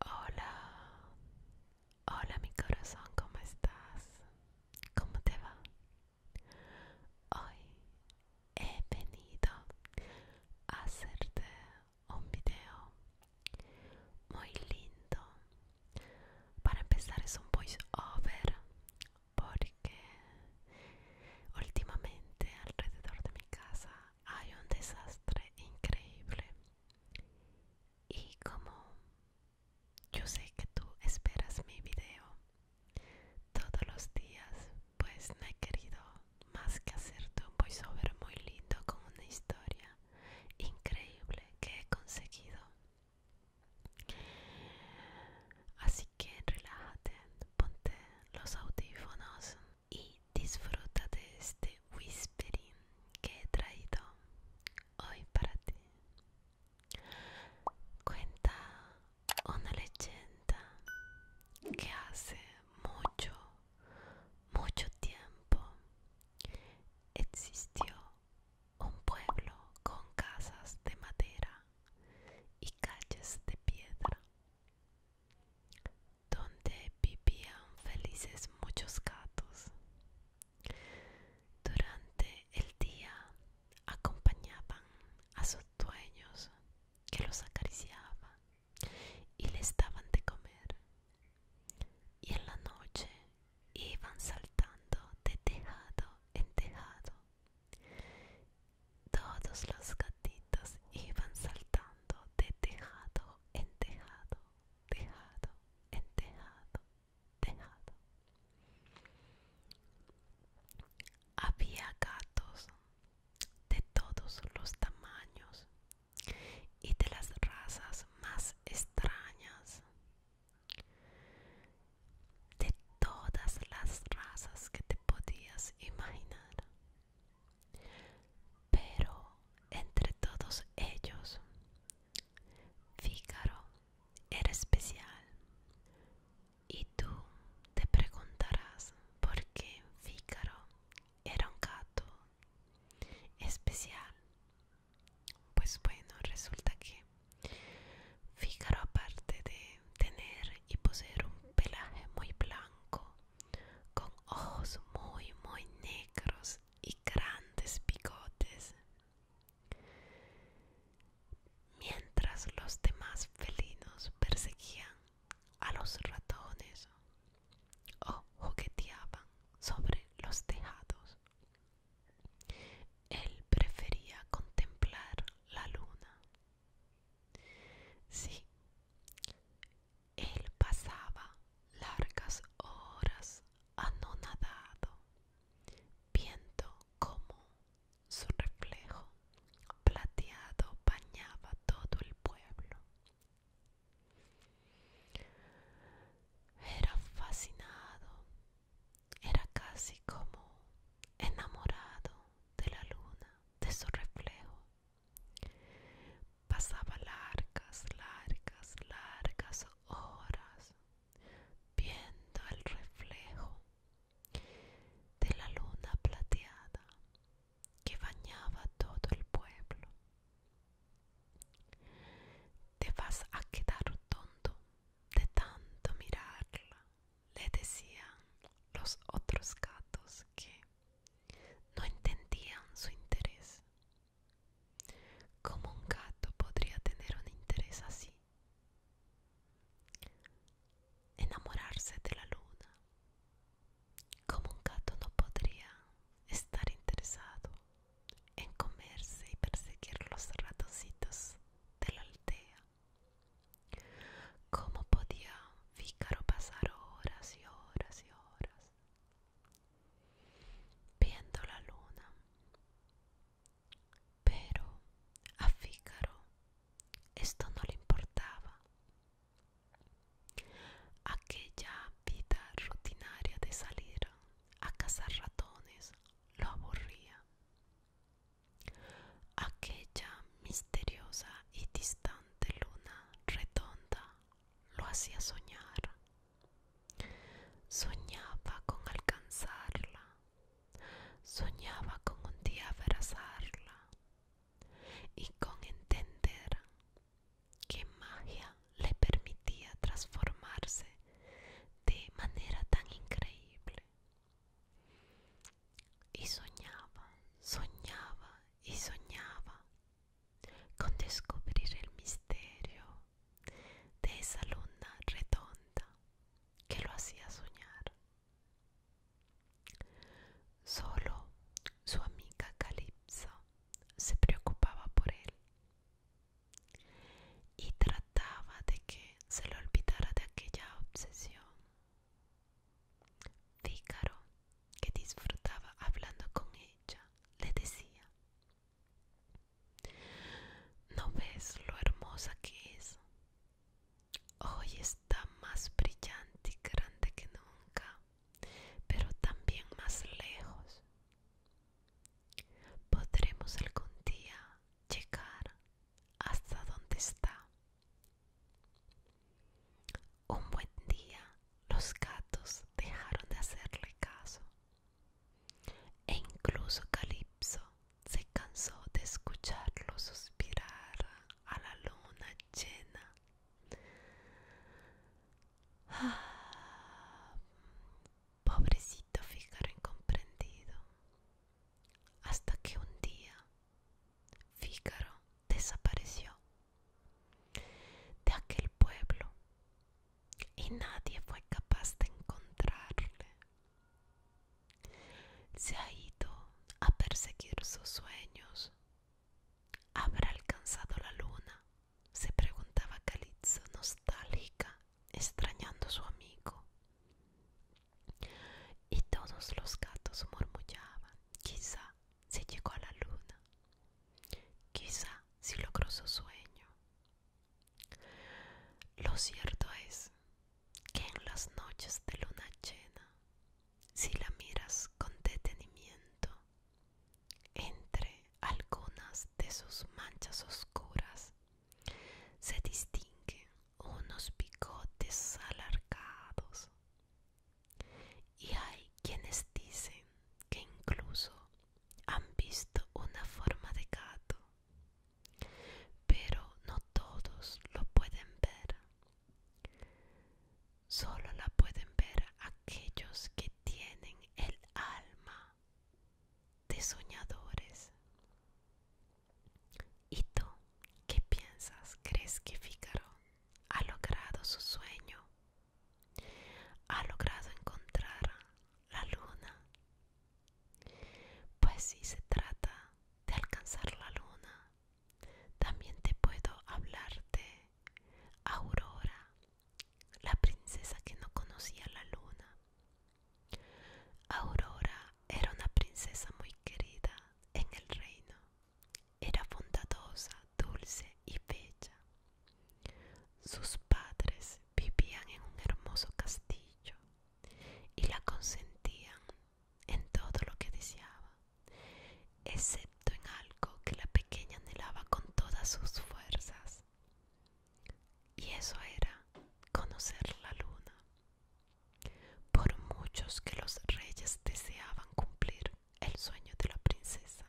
Hola, hola mi corazón, ¿cómo estás? ¿Cómo te va? Hoy he venido a hacerte un video muy lindo. Para empezar es un voice over porque últimamente alrededor de mi casa hay un desastre increíble y como yo sé que tú esperas mi video todos los días pues no he querido más que hacerte un voiceover muy lindo con una historia increíble que he conseguido así que relájate ponte los audífonos y disfruta de este whispering que he traído hoy para ti. Cuenta una leyenda que hace mucho, mucho tiempo existió un pueblo con casas de madera y calles de piedra donde vivían felices muchos gatos. Durante el día acompañaban a sus dueños que los acariciaban y les daban de comer. Y en la noche iban saltando de tejado en tejado. Todos los gatitos iban saltando de tejado en tejado tejado, en tejado, tejado. Había gatos de todos los tamaños y de las razas más extrañas. De todas las razas que te podías imaginar. Pero entre todos ellos, Fígaro era especial. Y tú te preguntarás por qué Fígaro era un gato especial. Pues bueno, resulta que Fígaro aparte de tener y poseer un pelaje muy blanco, con ojos muy muy negros y grandes bigotes mientras los demás felinos perseguían a los ratones o jugueteaban sobre los tejados él prefería contemplar la luna sí él pasaba largas horas anonadado, viendo como su reflejo plateado bañaba todo el pueblo. Era fascinado, era casi como enamorado de la luna, de su reflejo Pasaba largas, largas, largas horas viendo el reflejo de la luna plateada que bañaba todo el pueblo. Te vas a quedar tonto de tanto mirarla, le decían los otros gatos que no entendían su interés. ¿Cómo un gato podría tener un interés así? Enamorarse de la luna. ¿Cómo un gato no podría estar interesado en comerse y perseguir los ratoncitos de la aldea? ¿Cómo podía Vícaro pasar horas y horas y horas viendo la luna. Pero a Fígaro esto no le importaba. Aquella vida rutinaria de salir a cazar ratones lo aburría. Aquella misteriosa y distante luna redonda lo hacía soñar. Soñaba con alcanzarla, soñaba con un día abrazarla y con entender que magia le permitía transformarse de manera tan increíble. Y soñaba, soñaba y soñaba con descubrir el misterio de esa luna redonda que lo hacía soñar. Solo su amiga Calypso se preocupaba por él y trataba de que se lo olvidara de aquella obsesión que disfrutaba hablando con ella, le decía, ¿no ves lo hermosa que es? Hoy está más brillante y grande que nunca, pero también más lejos. Podremos algún día llegar hasta donde está. Un buen día los gatos dejaron de hacerle caso e incluso Calipso se cansó de escucharlo suspirar a la luna llena. Ah, pobrecito Fígaro incomprendido. Hasta que un día Fígaro desapareció de aquel pueblo y nadie fue capaz de encontrarle. Se ha ido a perseguir sus sueños. ¿Habrá alcanzado la luna? se preguntaba Calitza nostálgica, extrañando a su amigo. Y todos los gatos murmullaban, quizá se llegó a la luna. Quizá si logró su sueño. Lo cierto es que en las noches de luna llena, si la miras con detenimiento, entre algunas de sus manchas oscuras se distinguen unos bigotes alargados y hay quienes dicen que incluso han visto una forma de gato, pero no todos lo pueden ver. Solo la pueden ver aquellos que tienen el alma de soñadores. ¿Y tú qué piensas? ¿Crees que Fígaro ha logrado su sueño ha logrado encontrar la luna pues si se trata de alcanzar la luna también te puedo hablar de aurora la princesa que no conocía la luna aurora era una princesa muy querida en el reino era bondadosa, dulce y bella. Sus padres vivían en un hermoso castillo y la consentían en todo lo que deseaba, excepto en algo que la pequeña anhelaba con todas sus fuerzas. Y eso era conocer la luna. Por muchos que los reyes deseaban cumplir, el sueño de la princesa.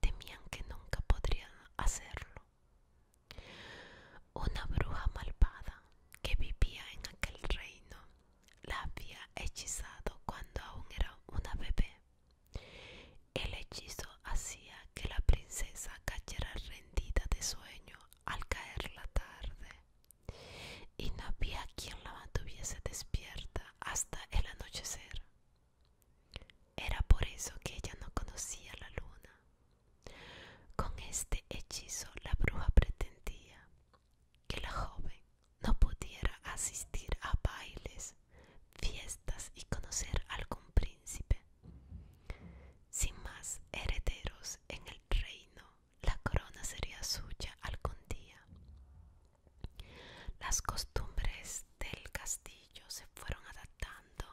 Temían que nunca podrían hacerlo. Una bruja malvada que vivía en aquel reino la había hechizado cuando aún era una bebé. El hechizo hacía que la princesa cayera rendida de sueño al caer la tarde y no había quien la mantuviese despierta hasta el anochecer. Era por eso que ella no conocía la luna. Con este hechizo la bruja pretendía que la joven no pudiera asistir a bailes, fiestas y conocer algún príncipe. Sin más herederos en el reino, la corona sería suya algún día. Las costumbres del castillo se fueron adaptando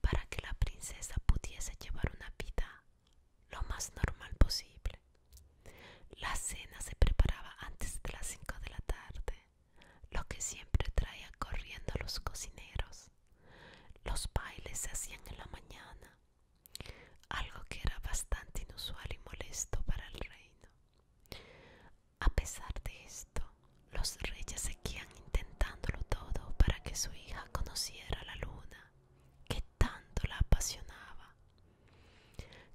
para que la princesa pudiese llevar una vida lo más normal posible. La cena se preparaba antes de las 5 de la tarde, lo que siempre traía corriendo los cocineros. Los bailes se hacían en la mañana, algo que era bastante inusual y molesto para el rey. A pesar de esto, los reyes seguían intentándolo todo para que su hija conociera la luna, que tanto la apasionaba.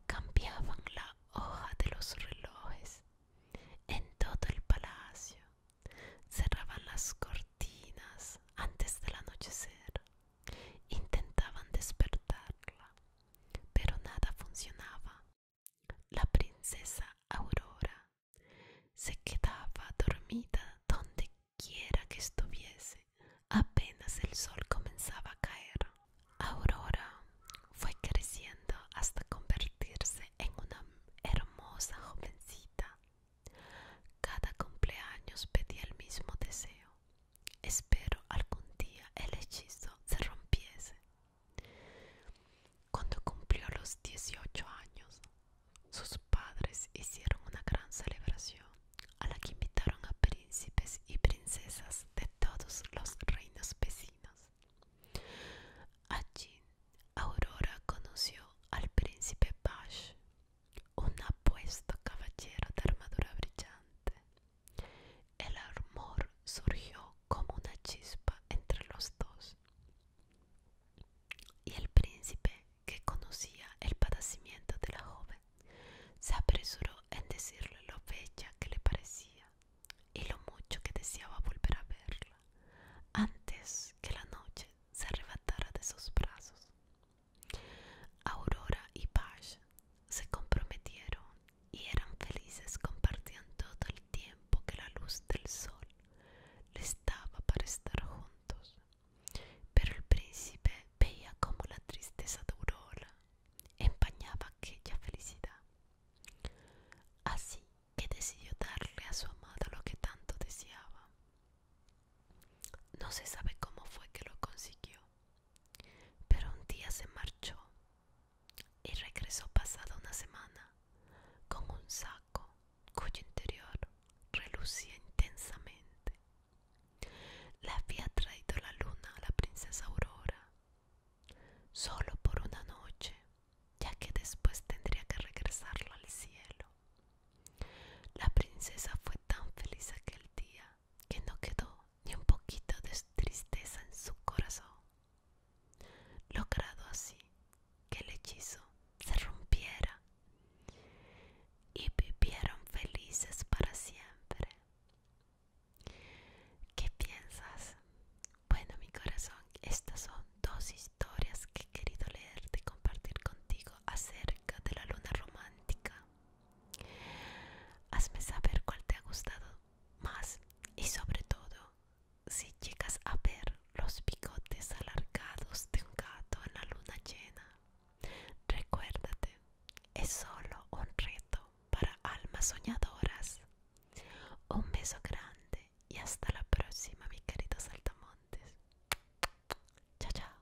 Cambiaban la hoja de los relojes en todo el palacio, cerraban las cortinas antes del anochecer, intentaban despertarla pero nada funcionaba. La princesa Aurora se quedaba dormida donde quiera que estuviese. Apenas el sol comenzaba a caer. Aurora fue creciendo hasta convertirse en una hermosa jovencita. Cada cumpleaños pedía el mismo deseo. Espero algún día el hechizo se rompiese. Cuando cumplió los 18 años, sus padres hicieron una gran celebración a la que invitaron a príncipes y princesas de todos los reinos vecinos. Allí, Aurora conoció al príncipe Bash, un apuesto caballero de armadura brillante el amor surgió como una chispa entre los dos. Y el príncipe, que conocía el padecimiento de la joven, se apresuró en decirle lo fecha que le parecía y lo mucho que deseaba volver a verla, antes que la noche se arrebatara de sus brazos. Aurora y Pash se comprometieron y eran felices compartían todo el tiempo que la luz del sol les daba para estar juntos. Pero el príncipe veía cómo la tristeza de Aurora empañaba aquella felicidad. Así que decidió darle a su amada lo que tanto deseaba. No se sabe cómo fue que lo consiguió, pero un día se marchó y regresó pasada una semana con un saco cuyo interior relucía intensamente. Le había traído la luna a la princesa Aurora solo por una noche, ya que después tendría que regresarlo al cielo. La princesa fue tan feliz aquel día que no quedó ni un poquito de tristeza en su corazón, logrado así que el hechizo se rompiera y vivieron felices para siempre. ¿Qué piensas? Bueno, mi corazón, estas son dos historias que he querido leerte y compartir contigo acerca de la luna romántica. Hazme saber cuál te ha gustado más y sobre todo si llegas a ver los bigotes alargados de un gato en la luna llena. Recuérdate, es solo un reto para almas soñadoras. Un beso grande y hasta la próxima, mi querido Saltamontes. Chao, chao.